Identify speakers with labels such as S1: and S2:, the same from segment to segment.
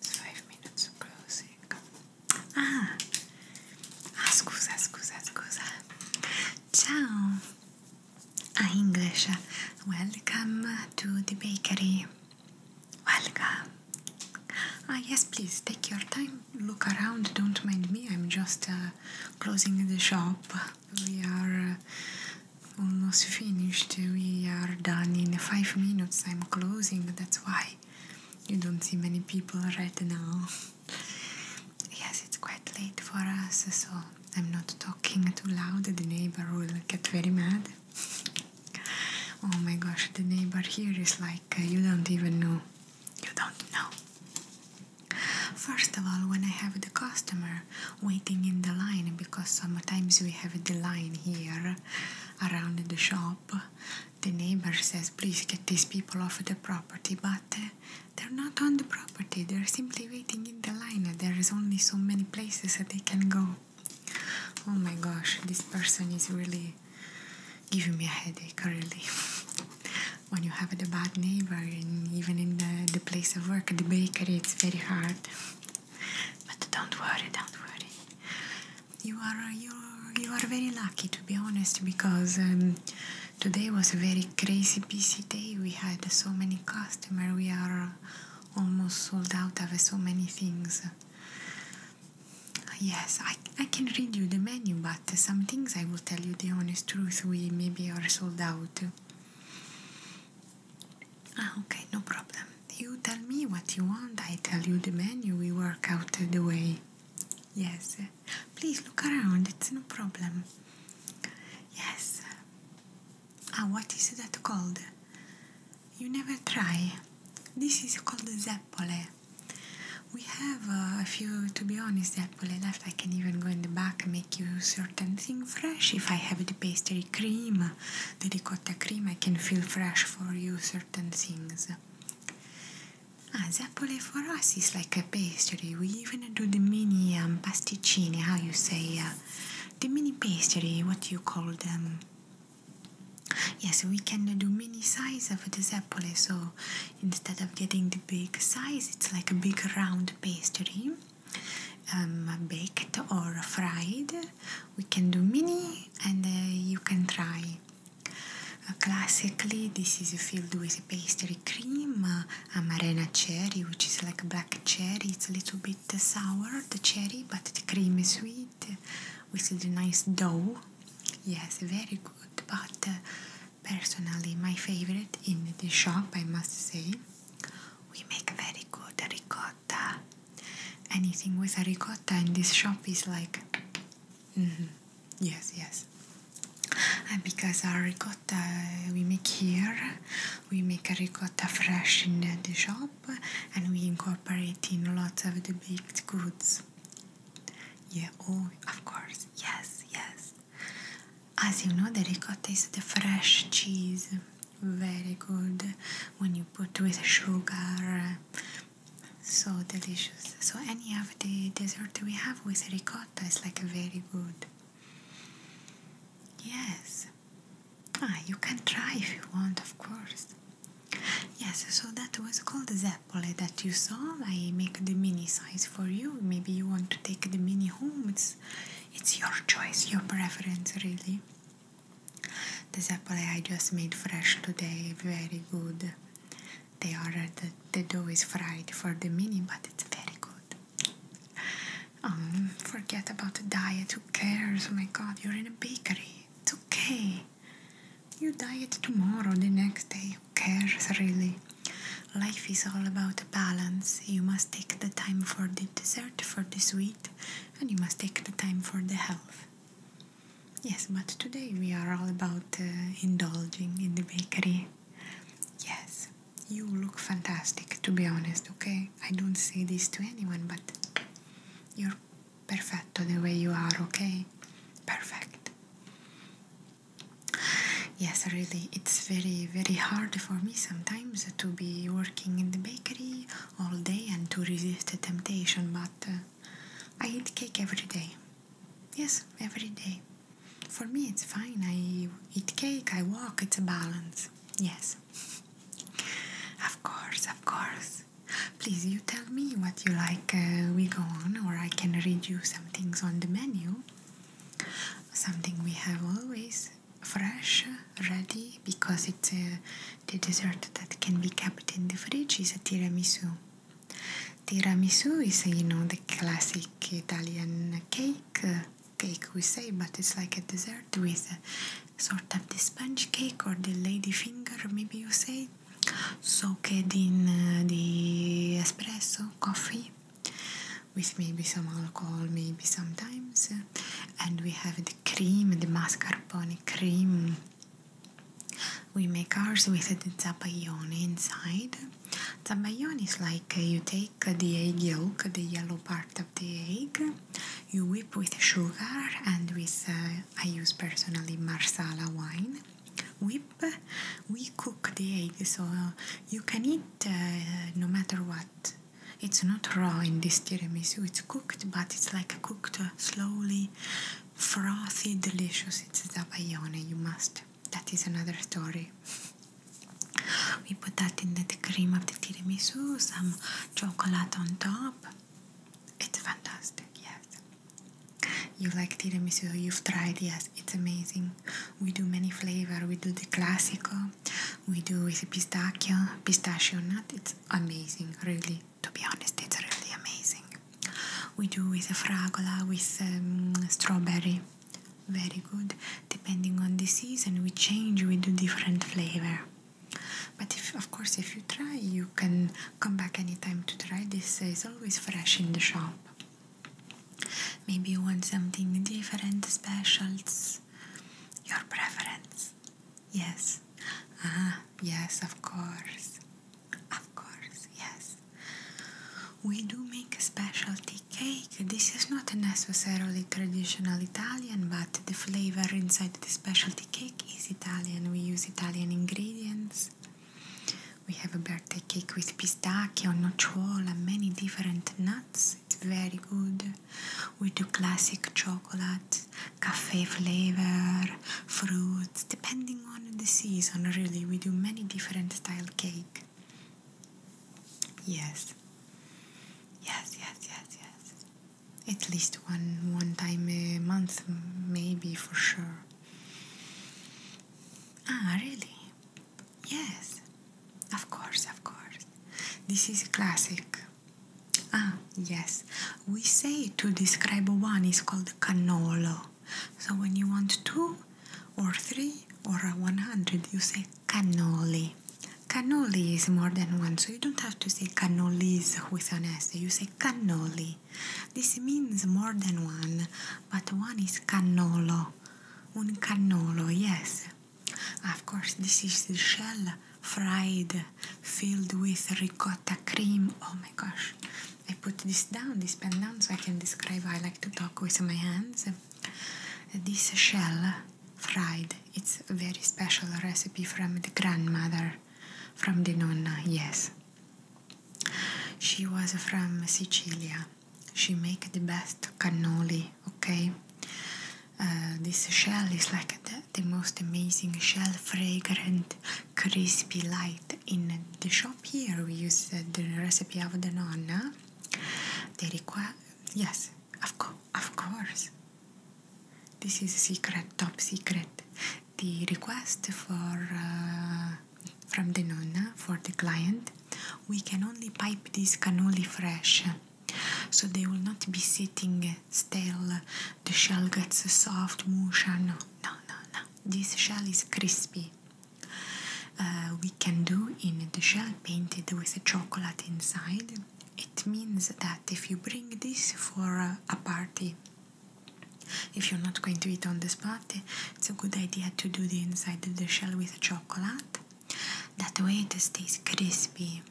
S1: five minutes closing. Ah, ah, scusa, scusa, scusa. Ciao. Ah, English. Welcome to the bakery. Welcome. Ah, yes, please take your time. Look around. Don't mind me. I'm just uh, closing the shop. We are uh, almost finished. We are done in five minutes. I'm closing. That's why you don't see many people right now. yes, it's quite late for us, so I'm not talking too loud. The neighbor will get very mad. oh my gosh, the neighbor here is like, uh, you don't even know. You don't know. First of all, when I have the customer waiting in the line, because sometimes we have the line here around the shop. The neighbor says, Please get these people off the property, but uh, they're not on the property, they're simply waiting in the line. There is only so many places that they can go. Oh my gosh, this person is really giving me a headache, really. when you have the bad neighbor, and even in the, the place of work, the bakery, it's very hard. But don't worry, don't worry. You are you you are very lucky to be honest because um, today was a very crazy busy day. We had so many customers. We are almost sold out of so many things. Yes, I, I can read you the menu, but some things I will tell you the honest truth. We maybe are sold out. Ah, okay, no problem. You tell me what you want, I tell you the menu, we work out the way. Yes, please look around, it's no problem. Yes. Ah, what is that called? You never try. This is called zeppole. We have uh, a few, to be honest, zeppole left. I can even go in the back and make you certain thing fresh if I have the pastry cream, the ricotta cream, I can feel fresh for you certain things. Ah, Zappole for us is like a pastry. We even do the mini um, pasticcini, how you say, uh, the mini pastry, what you call them. Yes, we can do mini size of the Zappole, so instead of getting the big size, it's like a big round pastry. Um, baked or fried we can do mini and uh, you can try. Uh, classically, this is filled with pastry cream, uh, amarena cherry, which is like black cherry. It's a little bit sour, the cherry, but the cream is sweet with the nice dough. Yes, very good, but uh, personally, my favorite in the shop, I must say. We make a very good ricotta ricotta. Anything with a ricotta in this shop is like, mm -hmm. yes, yes. And because our ricotta we make here, we make a ricotta fresh in the shop, and we incorporate in lots of the baked goods. Yeah, oh, of course, yes, yes. As you know, the ricotta is the fresh cheese very good when you put with sugar so delicious so any of the dessert we have with ricotta is like a very good yes ah you can try if you want of course yes so that was called zeppole that you saw i make the mini size for you maybe you want to take the mini home it's it's your choice your preference really the apple I just made fresh today, very good. They are the, the dough is fried for the mini, but it's very good. Um, forget about the diet. Who cares? Oh my God, you're in a bakery. It's okay. You diet tomorrow, the next day. Who cares really? Life is all about balance. You must take the time for the dessert, for the sweet, and you must take the time for the health. Yes, but today we are all about uh, indulging in the bakery. Yes, you look fantastic, to be honest, okay? I don't say this to anyone, but you're perfecto the way you are, okay? Perfect. Yes, really, it's very, very hard for me sometimes to be working in the bakery all day and to resist the temptation, but uh, I eat cake every day. Yes, every day. For me, it's fine. I eat cake, I walk, it's a balance. Yes. Of course, of course. Please, you tell me what you like. Uh, we go on, or I can read you some things on the menu. Something we have always fresh, ready, because it's a uh, the dessert that can be kept in the fridge is a tiramisu. Tiramisu is, uh, you know, the classic Italian cake. Uh, cake we say, but it's like a dessert with sort of the sponge cake or the lady finger, maybe you say, soaked in uh, the espresso coffee with maybe some alcohol, maybe sometimes. And we have the cream, the mascarpone cream we make ours with the zabaione inside. Zabaione is like uh, you take the egg yolk, the yellow part of the egg, you whip with sugar and with, uh, I use personally Marsala wine. Whip, we cook the egg so you can eat uh, no matter what. It's not raw in this tiramisu, it's cooked, but it's like a cooked slowly, frothy, delicious. It's zabayone, you must. That is another story. We put that in the cream of the tiramisu, some chocolate on top. It's fantastic, yes. You like tiramisu, you've tried, yes, it's amazing. We do many flavor, we do the classical. we do with pistachio, pistachio nut, it's amazing, really to be honest, it's really amazing. We do with a fragola, with um, strawberry, very good. Depending on the season, we change, with a different flavor. But if, of course, if you try, you can come back anytime to try this. is always fresh in the shop. Maybe you want something different, specials, your preference. Yes. Ah, yes, of course. Of course, yes. We do make a specialty cake. This is not necessarily traditional Italian, but the flavor inside the specialty cake is Italian. We use Italian ingredients. We have a birthday cake with pistachio, nocciola, many different nuts. It's very good. We do classic chocolate, cafe flavor, fruit, depending on the season, really. We do many different style cake. Yes. Yes, yes, yes, yes. At least one one time a month, maybe for sure. Ah, really? Yes. Of course, of course. This is classic. Ah, yes. We say to describe one is called canolo. So when you want two or three or a one hundred, you say cannoli. Cannoli is more than one, so you don't have to say cannolis with an S. You say cannoli. This means more than one, but one is cannolo. Un cannolo, yes. Of course, this is the shell fried filled with ricotta cream. Oh my gosh. I put this down, this pen down, so I can describe I like to talk with my hands. This shell fried. It's a very special recipe from the grandmother, from the nonna, yes. She was from Sicilia. She make the best cannoli, okay? Uh, this shell is like the most amazing shell fragrant, crispy light. In the shop here, we use the recipe of the nonna. They require, yes, of, co of course. This is secret, top secret. The request for uh, from the nonna for the client, we can only pipe this cannoli fresh, so they will not be sitting stale the shell gets a soft motion. No, no, no. This shell is crispy. Uh, we can do in the shell painted with chocolate inside. It means that if you bring this for a party, if you're not going to eat on the spot, it's a good idea to do the inside of the shell with chocolate. That way it stays crispy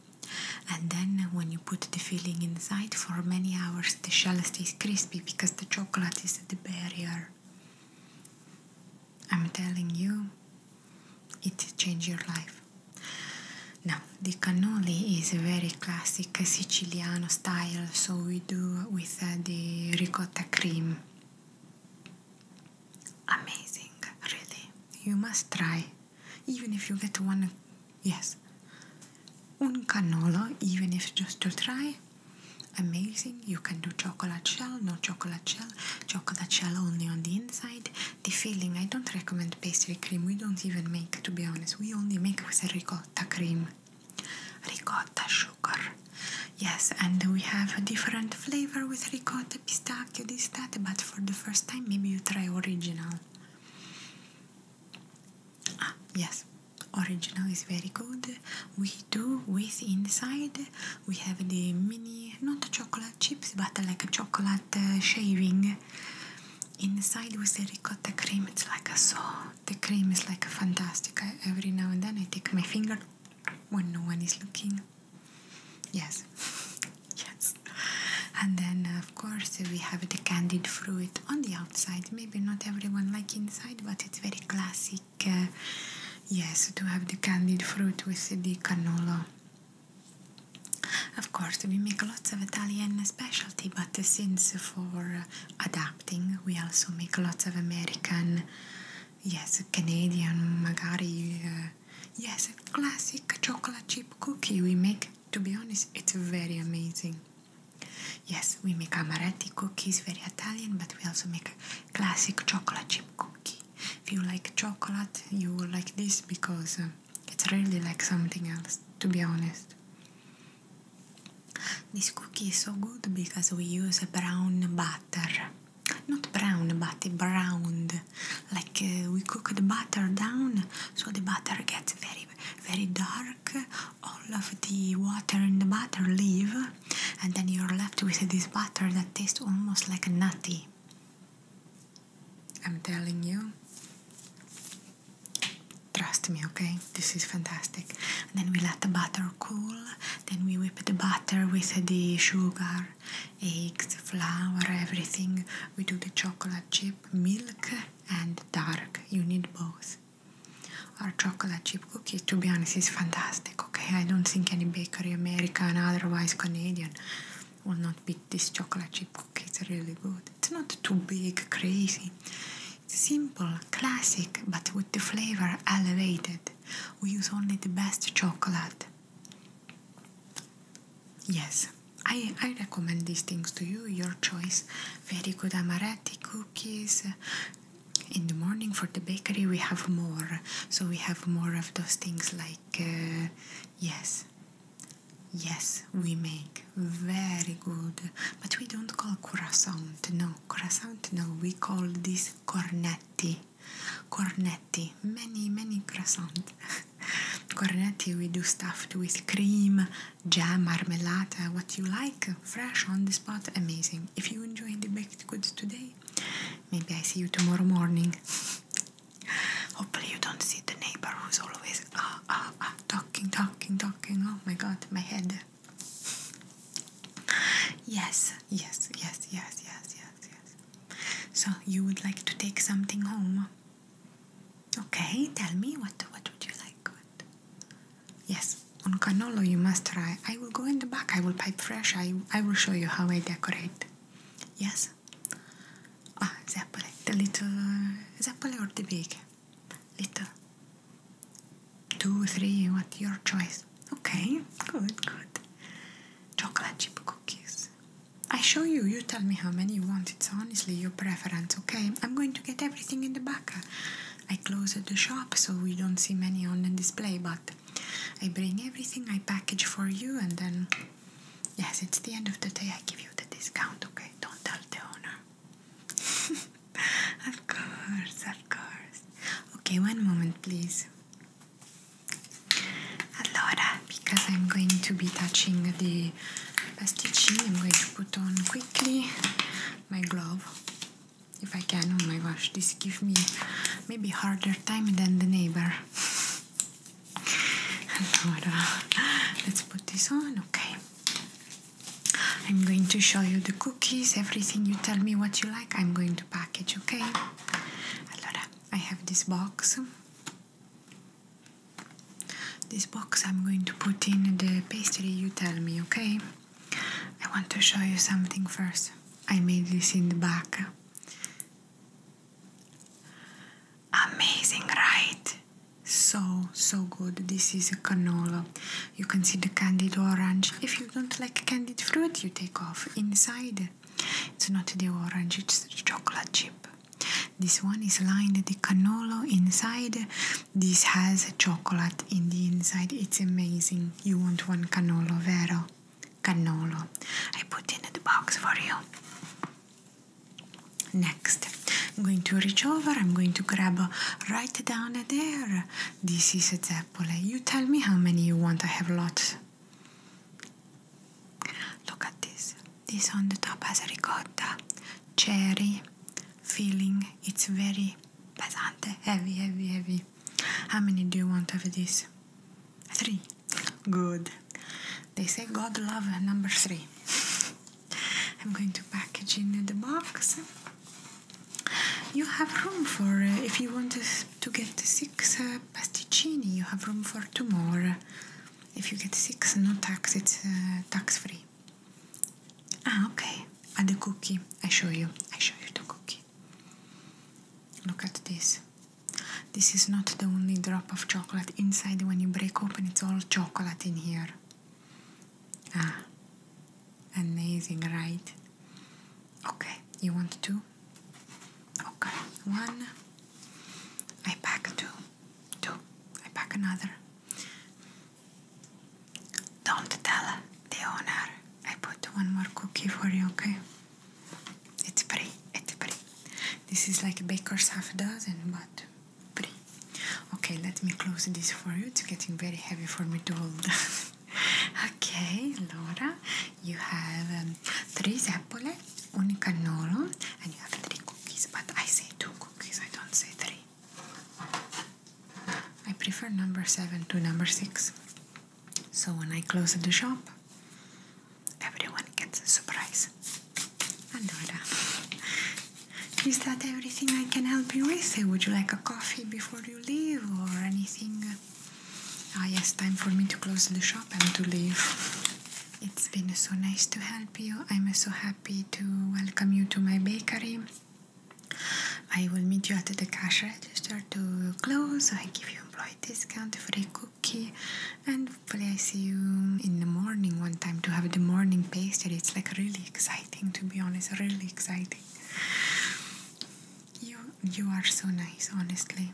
S1: and then when you put the filling inside for many hours the shell stays crispy because the chocolate is the barrier i'm telling you it changed your life now the cannoli is very classic siciliano style so we do with uh, the ricotta cream amazing really you must try even if you get one yes un cannolo even if just to try amazing you can do chocolate shell not chocolate shell chocolate shell only on the inside the filling i don't recommend pastry cream we don't even make to be honest we only make with ricotta cream ricotta sugar yes and we have a different flavor with ricotta pistachio this that but for the first time maybe you try original Ah, yes, original is very good. We do with inside, we have the mini, not chocolate chips, but like a chocolate uh, shaving. Inside with the ricotta cream, it's like a saw. The cream is like a fantastic. every now and then I take my finger when no one is looking. Yes, yes. And then, of course, we have the candied fruit on the outside maybe not everyone like inside but it's very classic uh, yes to have the candied fruit with the canola of course we make lots of Italian specialty but since for adapting we also make lots of American yes Canadian magari uh, yes classic chocolate chip cookie we make to be honest, it's very amazing. Yes, we make amaretti cookies, very Italian, but we also make a classic chocolate chip cookie. If you like chocolate, you will like this because um, it's really like something else, to be honest. This cookie is so good because we use brown butter. Not brown, but browned. Like uh, we cook the butter down so the butter gets very very dark, all of the water in the butter leave, and then you're left with this butter that tastes almost like nutty. I'm telling you. Trust me, okay? This is fantastic. then we let the butter cool. Then we whip the butter with the sugar, eggs, flour, everything. We do the chocolate chip, milk, and dark. You need both. Our chocolate chip cookies, to be honest, is fantastic. Okay, I don't think any bakery, American, otherwise Canadian, will not beat this chocolate chip cookie. It's really good. It's not too big, crazy. It's simple, classic, but with the flavor elevated. We use only the best chocolate. Yes, I, I recommend these things to you, your choice. Very good amaretti cookies. In the morning for the bakery, we have more. So we have more of those things like, uh, yes, yes, we make very good. But we don't call croissant, no, croissant, no, we call this cornetti. Cornetti, many, many croissants, cornetti, we do stuffed with cream jam, marmelada, what you like, fresh on the spot, amazing. If you enjoy the baked goods today, maybe I see you tomorrow morning. Hopefully, you don't see the neighbor who's always ah, ah, ah, talking, talking, talking. Oh my god, my head. Yes, yes, yes, yes, yes, yes, yes. So, you would like to take something home? Okay, tell me what what would you like? What? Yes, on cannolo you must try. I will go in the back. I will pipe fresh. I I will show you how I decorate. Yes. Ah, zeppole, the little uh, zeppole or the big, little. Two, three, what your choice? Okay, good, good. Chocolate chip cookies. I show you. You tell me how many you want. It's honestly your preference. Okay, I'm going to to get everything in the back. I close the shop so we don't see many on the display, but I bring everything I package for you, and then yes, it's the end of the day. I give you the discount, okay? Don't tell the owner. of course, of course. Okay, one moment, please. Allora, because I'm going to be touching the my I'm going to put on quickly my glove if I can. Oh my gosh, this gives me maybe harder time than the neighbor. Uh, let's put this on, okay. I'm going to show you the cookies, everything you tell me what you like, I'm going to package, okay? Allora, I have this box this box I'm going to put in the pastry you tell me, okay? I want to show you something first. I made this in the back. Amazing, right? So, so good. This is a canola. You can see the candied orange. If you don't like candied fruit, you take off. Inside, it's not the orange, it's chocolate chip. This one is lined the cannolo inside. This has chocolate in the inside. It's amazing. You want one cannolo, vero? Cannolo. I put in the box for you. Next, I'm going to reach over. I'm going to grab right down there. This is a zeppole. You tell me how many you want. I have lots. Look at this. This on the top has ricotta, cherry, feeling. It's very pesante, heavy, heavy, heavy. How many do you want of this? Three. Good. They say God love number three. I'm going to package in the box. You have room for, uh, if you want to get six uh, pasticcini, you have room for two more. If you get six, no tax, it's uh, tax free. Ah, okay. At ah, the cookie. I show you. I show you the cookie. Look at this. This is not the only drop of chocolate inside. When you break open, it's all chocolate in here. Ah, amazing, right? Okay, you want two? Okay, one. I pack two. Two. I pack another. Don't tell the owner. I put one more cookie for you, okay? It's pretty, it's pretty. This is like a baker's half dozen, but pretty. Okay, let me close this for you. It's getting very heavy for me to hold. okay, Laura, you have um, three zeppole, one cannolo, and you have three cookies, but I say two cookies, I don't say three. I prefer number 7 to number 6. So when I close the shop, everyone gets a surprise. Allora, is that everything I can help you with? Eh, would you like a coffee before you leave or anything? Ah, yes, time for me to close the shop and to leave. It's been so nice to help you. I'm so happy happy to welcome you to my bakery. I will meet you at the cash register to close. I give you employee discount, for a cookie, and hopefully see you in the morning one time to have the morning pastry. It's like really exciting, to be honest, really exciting. You you are so nice, honestly.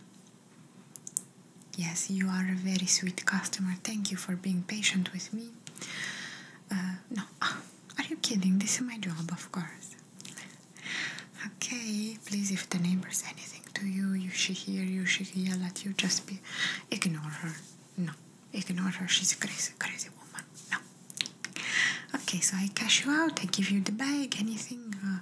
S1: Yes, you are a very sweet customer. Thank you for being patient with me. Uh, no, are you kidding? This is my job, of course. Okay, please, if the neighbor says anything to you, you she hear you, she yell at you, just be ignore her. No, ignore her. She's a crazy, crazy woman. No. Okay, so I cash you out. I give you the bag. Anything. Uh,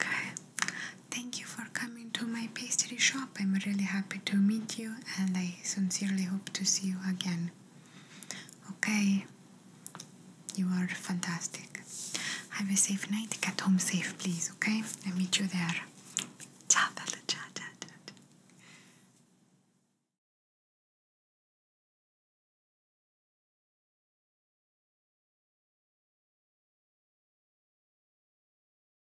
S1: Okay. Thank you for coming coming to my pastry shop. I'm really happy to meet you and I sincerely hope to see you again. Okay, you are fantastic. Have a safe night. Get home safe, please, okay? I'll meet you there. ciao, ciao, ciao.